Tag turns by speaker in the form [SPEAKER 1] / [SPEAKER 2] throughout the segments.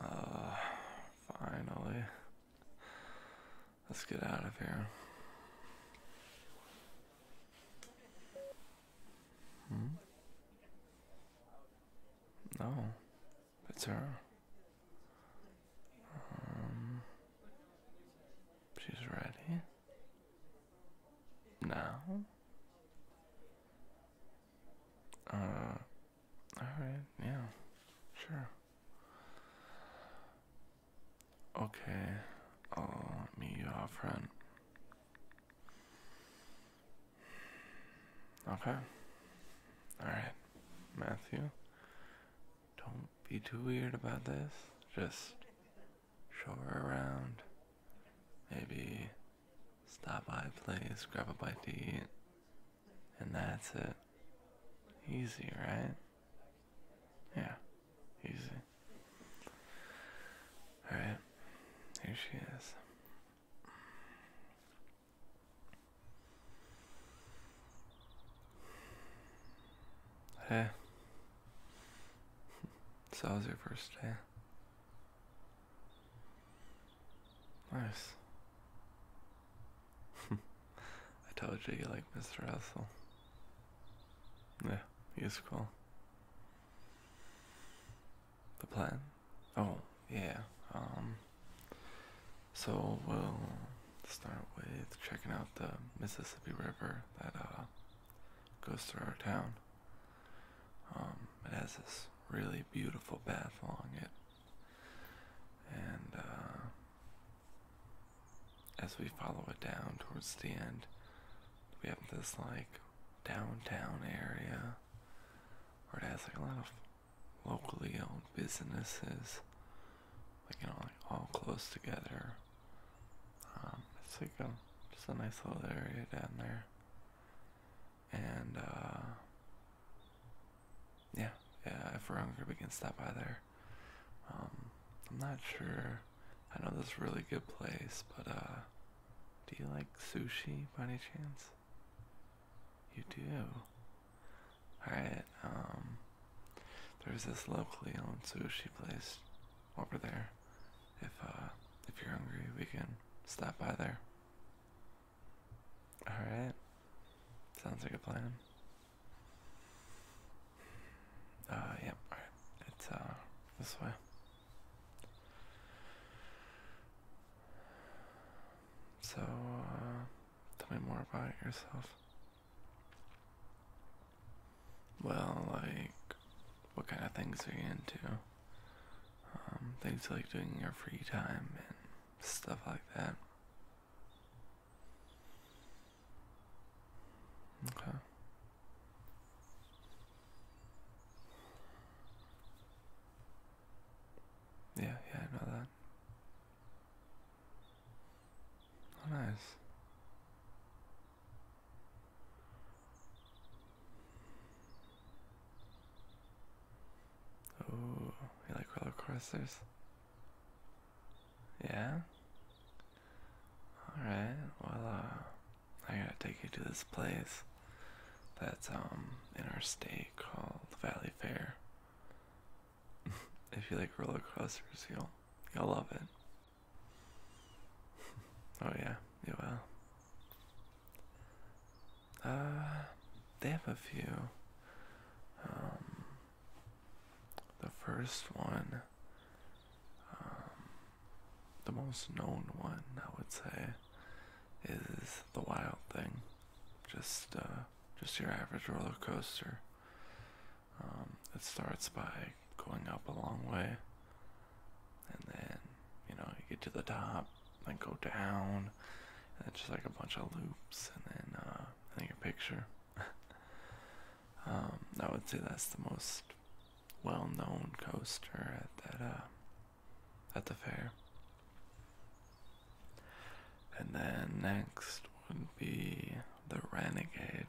[SPEAKER 1] Uh, finally. Let's get out of here. Hmm? No, it's her. Um, she's ready now. Uh, all right, yeah, sure. Okay, I'll meet you Okay. Alright. Matthew, don't be too weird about this. Just show her around. Maybe stop by a place, grab a bite to eat, and that's it. Easy, right? Yeah, easy. Alright, here she is. Hey. So was your first day. Nice. I told you you like Mr. Russell. Yeah, he's cool. The plan? Oh, yeah. Um, so we'll start with checking out the Mississippi River that uh, goes through our town. Um, it has this really beautiful path along it. And uh, as we follow it down towards the end, we have this like downtown area where it has like a lot of locally owned businesses like you know, like all close together. Um, it's like a just a nice little area down there, and uh, yeah, yeah. If we're hungry, we can stop by there. Um, I'm not sure. I know this really good place, but uh, do you like sushi by any chance? You do. Alright, um, there's this locally owned sushi place over there. If, uh, if you're hungry, we can stop by there. Alright, sounds like a plan. Uh, yep, yeah, alright, it's, uh, this way. So, uh, tell me more about yourself. Well, like, what kind of things are you into? Um, things like doing your free time and stuff like that. Okay. Yeah, yeah, I know that. Oh, nice. Oh, you like roller coasters? Yeah? Alright, well, uh, I gotta take you to this place that's, um, in our state called Valley Fair if you like roller coasters, you'll you'll love it. oh yeah, you will. Uh, they have a few. Um, the first one, um, the most known one, I would say, is the Wild Thing. Just uh, just your average roller coaster. Um, it starts by going up a long way, and then you know you get to the top, then go down, it's just like a bunch of loops, and then uh, and then picture. Um, I would say that's the most well-known coaster at that uh, at the fair. And then next would be the Renegade.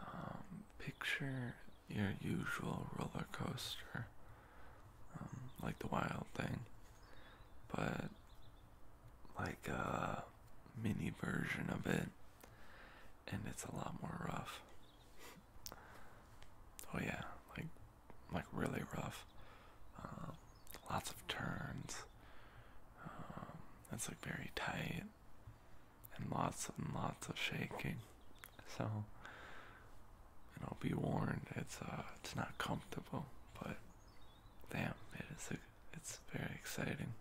[SPEAKER 1] Um, picture your usual roller coaster, um, like the wild thing, but like a mini version of it, and it's a lot more rough. oh yeah, like like really rough. Um, lots of turns. That's like very tight and lots and lots of shaking. So, you will be warned, it's uh, it's not comfortable, but damn, it is. A, it's very exciting.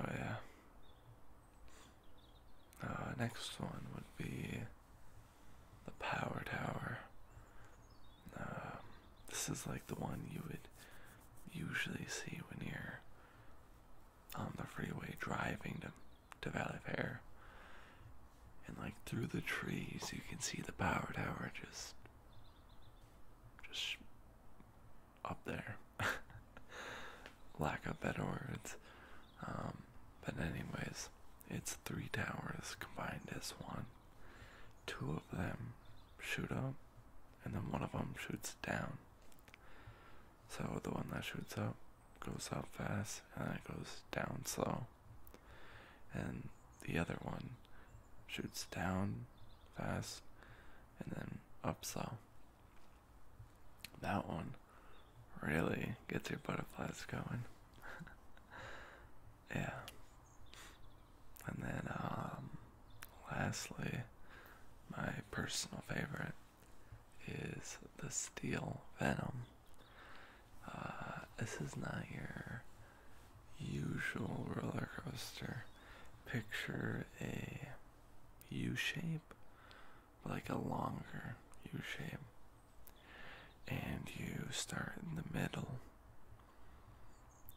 [SPEAKER 1] Oh yeah. Uh, next one would be the power tower. Um, this is like the one you would usually see when you're on the freeway driving to, to Valley Fair. And like through the trees, you can see the power tower just, just up there. Lack of better words. Um, but anyways, it's three towers combined as one. Two of them shoot up, and then one of them shoots down. So the one that shoots up goes up fast, and then it goes down slow. And the other one shoots down fast, and then up slow. That one really gets your butterflies going. yeah. And then, um, lastly, my personal favorite is the Steel Venom. Uh, this is not your usual roller coaster. Picture a U shape, like a longer U shape. And you start in the middle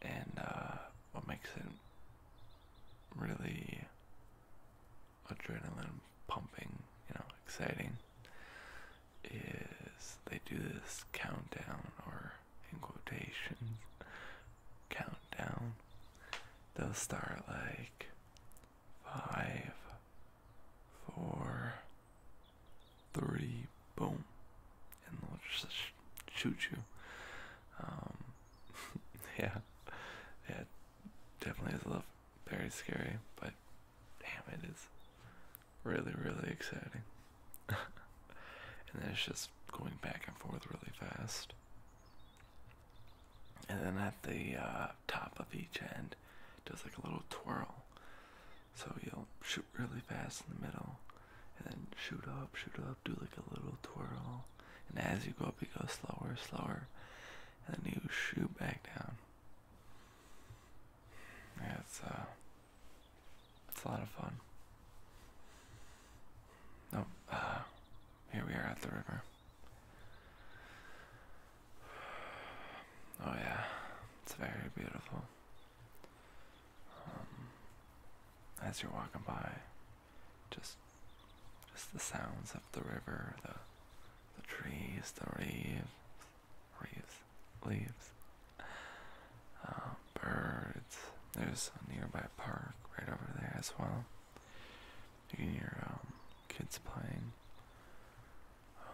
[SPEAKER 1] and uh, what makes it really adrenaline pumping, you know, exciting, is they do this countdown or in quotations countdown. They'll start like five, four, three, boom, and they just shoot you. Um, yeah, yeah, definitely is a little very scary, but damn, it is really, really exciting. and then it's just going back and forth really fast. And then at the uh, top of each end, does like a little twirl. So you'll shoot really fast in the middle, and then shoot up, shoot up do like a little twirl, and as you go up, you go slower, slower, and then you shoot back down. Yeah, it's uh, it's a lot of fun. No, oh, uh, here we are at the river. Oh yeah, it's very beautiful. Um, as you're walking by, just just the sounds of the river, the the trees, the leaves, leaves, leaves, uh, birds. There's a nearby park right over there as well. You hear um, kids playing.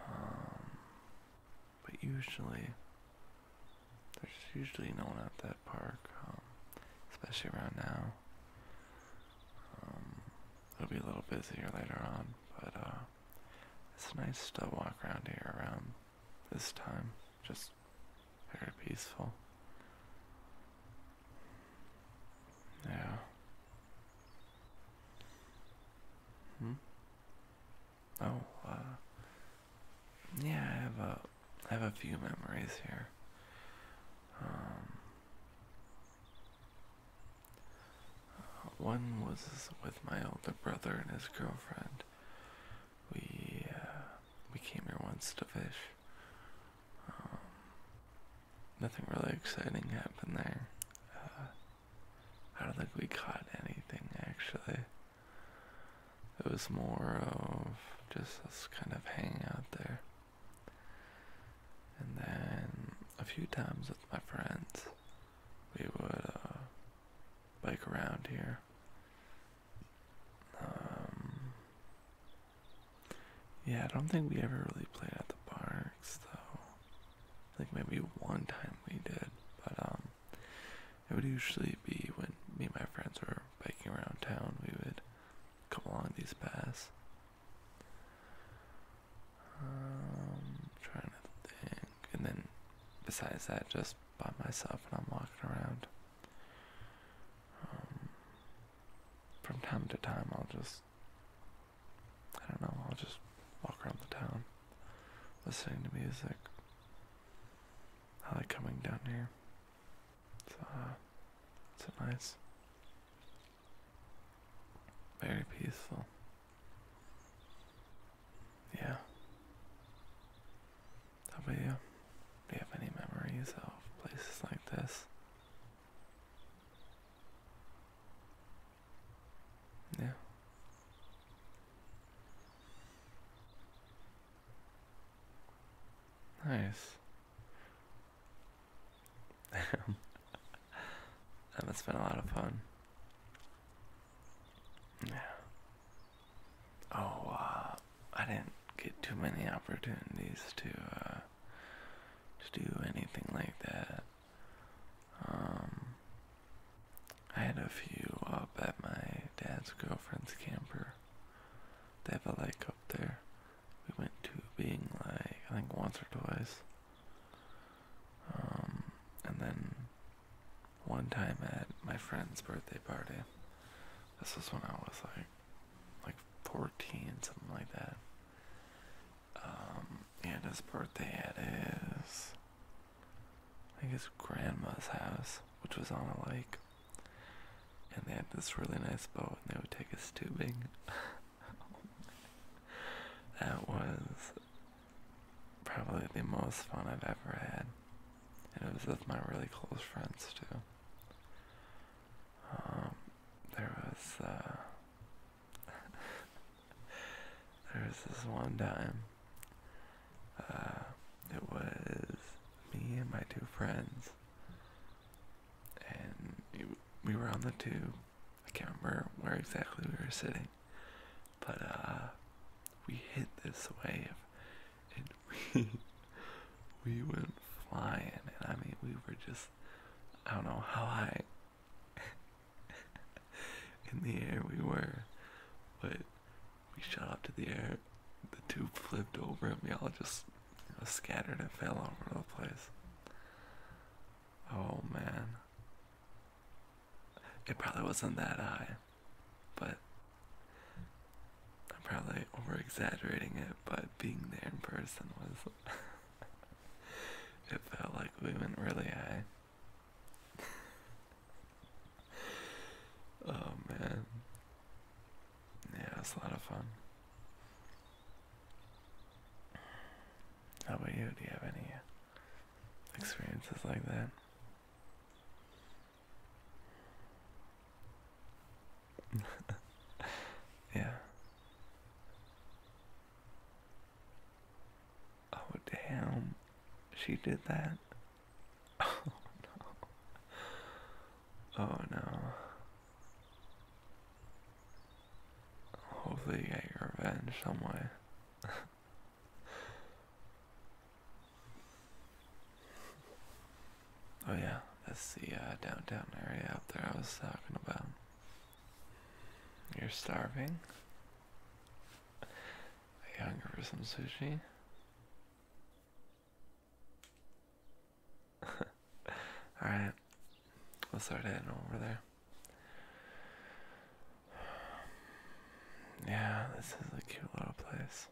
[SPEAKER 1] Um, but usually, there's usually no one at that park, um, especially around now. Um, it'll be a little busier later on, but uh, it's nice to walk around here around this time. Just very peaceful. Yeah. Hmm? Oh, uh, yeah, I have a, I have a few memories here. Um, one was with my older brother and his girlfriend. We uh, we came here once to fish. Um, nothing really exciting happened there. Uh, I don't think we caught anything actually. It was more of just us kind of hanging out there. And then a few times with my friends, we would uh, bike around here. Um, yeah, I don't think we ever really played at the parks though. Like maybe one time we did, but um, it would usually be when me and my friends were biking around town, we would come along these paths. Um, trying to think, and then besides that, just by myself and I'm walking around. Um, from time to time, I'll just, I don't know, I'll just walk around the town, listening to music. I like coming down here. It's, uh, it's nice, very peaceful. Yeah. How about you? Do you have any memories of places like this? Yeah. Nice. that has been a lot of fun. Yeah. Oh, uh, I didn't get too many opportunities to, uh, to do anything like that. Um, I had a few up at my dad's girlfriend's camper. They have a lake up there. We went to being like I think once or twice. Um, and then one time at my friend's birthday party. This was when I was like like 14, something like that. Um, and his birthday had his I guess grandma's house, which was on a lake. And they had this really nice boat, and they would take us tubing. that was probably the most fun I've ever had. And it was with my really close friends, too. Um, there was, uh, there was this one time uh, it was me and my two friends, and we were on the tube. I can't remember where exactly we were sitting, but uh, we hit this wave, and we we went flying. And I mean, we were just I don't know how high in the air we were, but we shot up to the air. The tube flipped over and we all just scattered and fell all over the place. Oh man. It probably wasn't that high, but I'm probably overexaggerating it, but being there in person was. it felt like we went really high. oh man. Yeah, it's a lot of fun. How about you? Do you have any experiences like that? yeah. Oh, damn. She did that. Oh no. Oh no. Hopefully you get your revenge some way. oh yeah, that's the uh, downtown area up there I was talking about. You're starving? hungry for some sushi? Alright, we'll start heading over there. Yeah, this is a cute little place.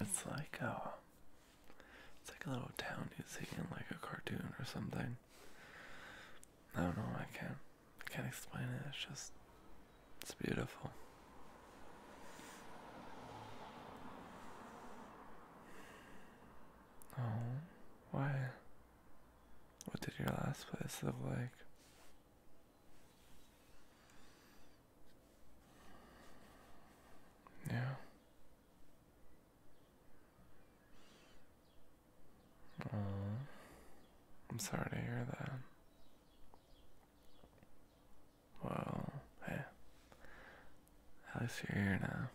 [SPEAKER 1] It's like uh it's like a little town you see in like a cartoon or something. I don't know, I can't I can't explain it, it's just it's beautiful. Oh, why? What did your last place look like? Yeah. Oh, I'm sorry to hear that. Well, hey, at least you're here now.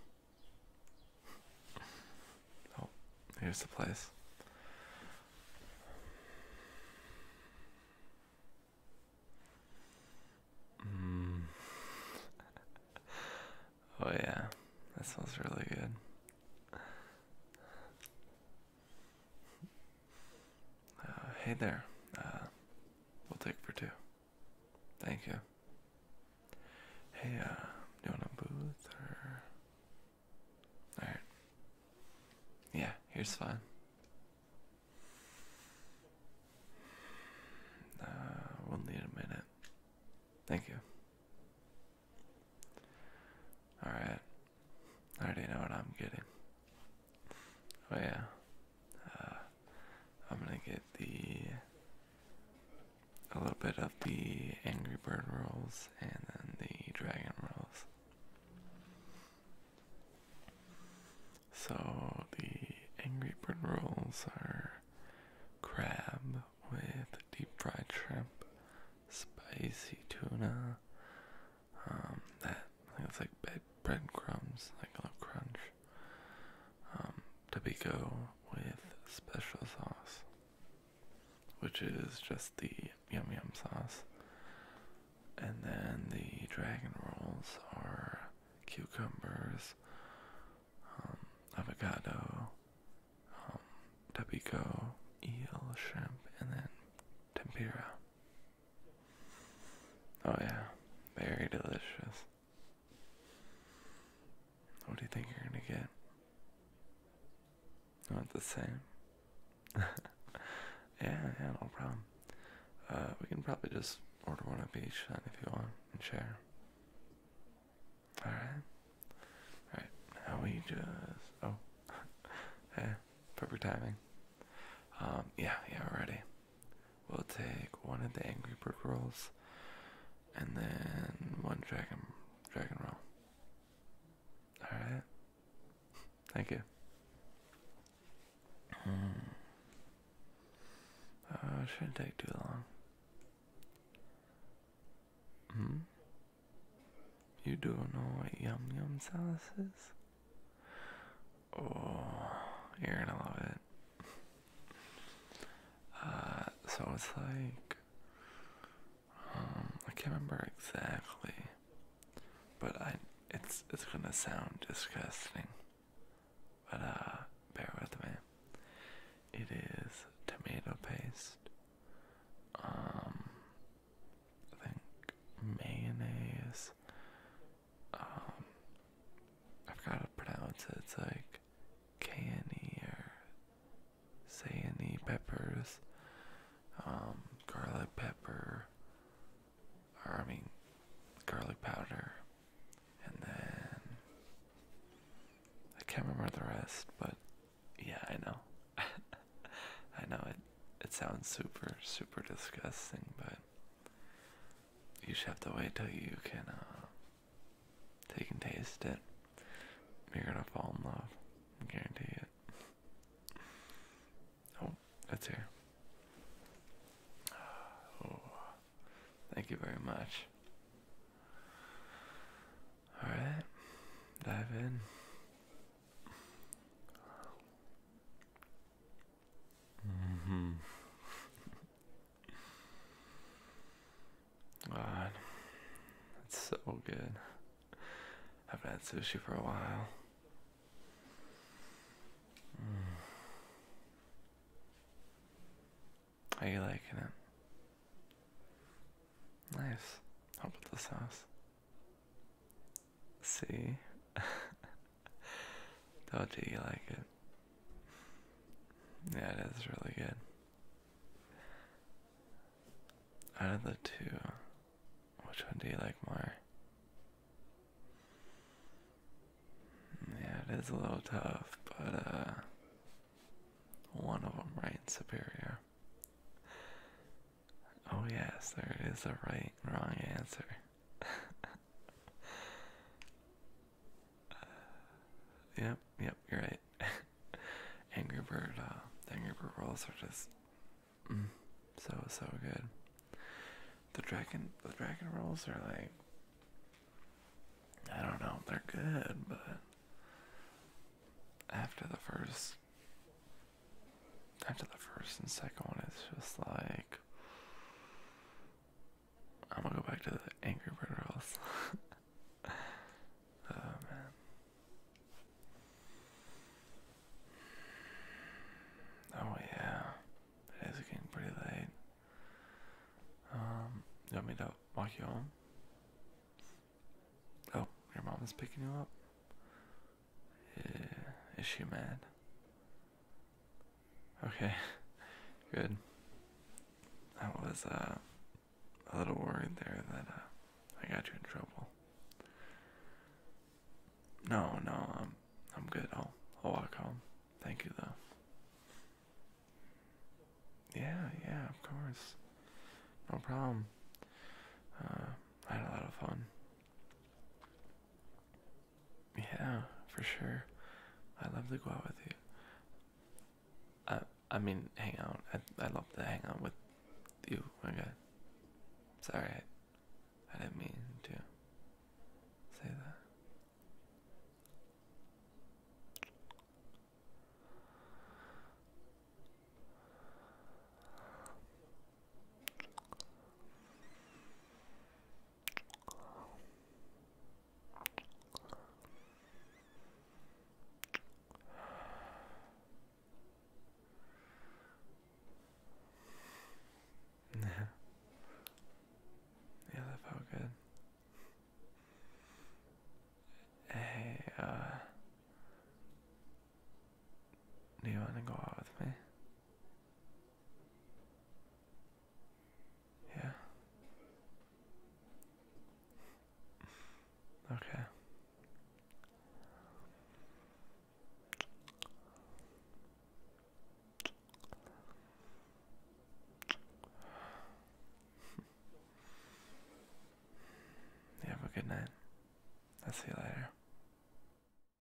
[SPEAKER 1] oh, here's the place. Mm. oh yeah, that smells really good. Uh, hey there. Uh, we'll take for two. Thank you. Hey, uh, you want a booth All right. Yeah, here's fine. Uh, we'll need a minute. Thank you. All right. I already know what I'm getting. Oh yeah, uh, I'm gonna get the a little bit of the Angry Bird rolls and then the Dragon rolls. So the Angry Bird rolls are crab with deep fried shrimp, spicy tuna, um, that it's like bread crumbs, like a little crunch. Um, with special sauce, which is just the yum yum sauce, and then the dragon rolls are cucumbers, um, avocado, um, tapico, eel, shrimp, and then tempura. Oh yeah, very delicious. What do you think you're gonna get? Not the same. yeah, yeah, no problem. Uh, we can probably just order one of each and if you want and share. All right, all right. Now we just oh, hey, Perfect timing. Um, yeah, yeah, we're ready. We'll take one of the Angry Bird rolls, and then one dragon dragon roll. All right. Thank you. Mm. shouldn't take too long. Hmm? You do not know what yum yum sauce is? Oh, you're gonna love it. Uh, so it's like, um, I can't remember exactly, but I it's it's gonna sound disgusting, but uh, bear with me. It is tomato paste. Um, I think mayonnaise um, I forgot how to pronounce it. It's like cayenne or cayenne peppers, um, garlic pepper, or I mean, garlic powder, and then I can't remember the rest, but yeah, I know. I know it. It sounds super, super disgusting, but you just have to wait till you can, uh, take and taste it. You're gonna fall in love. I guarantee it. Oh, that's here. Oh, thank you very much. Alright, dive in. Mm-hmm. God, it's so good. I have had sushi for a while. Mm. How you liking it? Nice. Help with the sauce see. how do you like it? Yeah, it is really good. Out of the two, which one do you like more? Yeah, it is a little tough, but uh, one of them right and superior. Oh yes, there is a right and wrong answer yep, yep, you're right. Angry Bird, uh, Angry Bird rolls are just mm, so so good. The dragon, the dragon rolls are like, I don't know, they're good, but after the first after the first and second one, it's just like I'm gonna go back to the Angry Bird Rolls. oh man, oh yeah, it is getting pretty late. Um, you want me to walk you home? Oh, your mom is picking you up. Yeah. Is she mad? Okay, good. I was uh, a little worried there that uh, I got you in trouble. No, no, I'm I'm good. I'll I'll walk home. Thank you though. Yeah, yeah, of course. No problem. Uh, I had a lot of fun. Yeah, for sure. I love to go out with you. I I mean hang out. I I love to hang out with you. My God. Sorry, I, I didn't mean to say that. yeah, that felt good. Hey, uh, do you want to go out with me? Yeah. Okay. You have a good night. I'll see you later.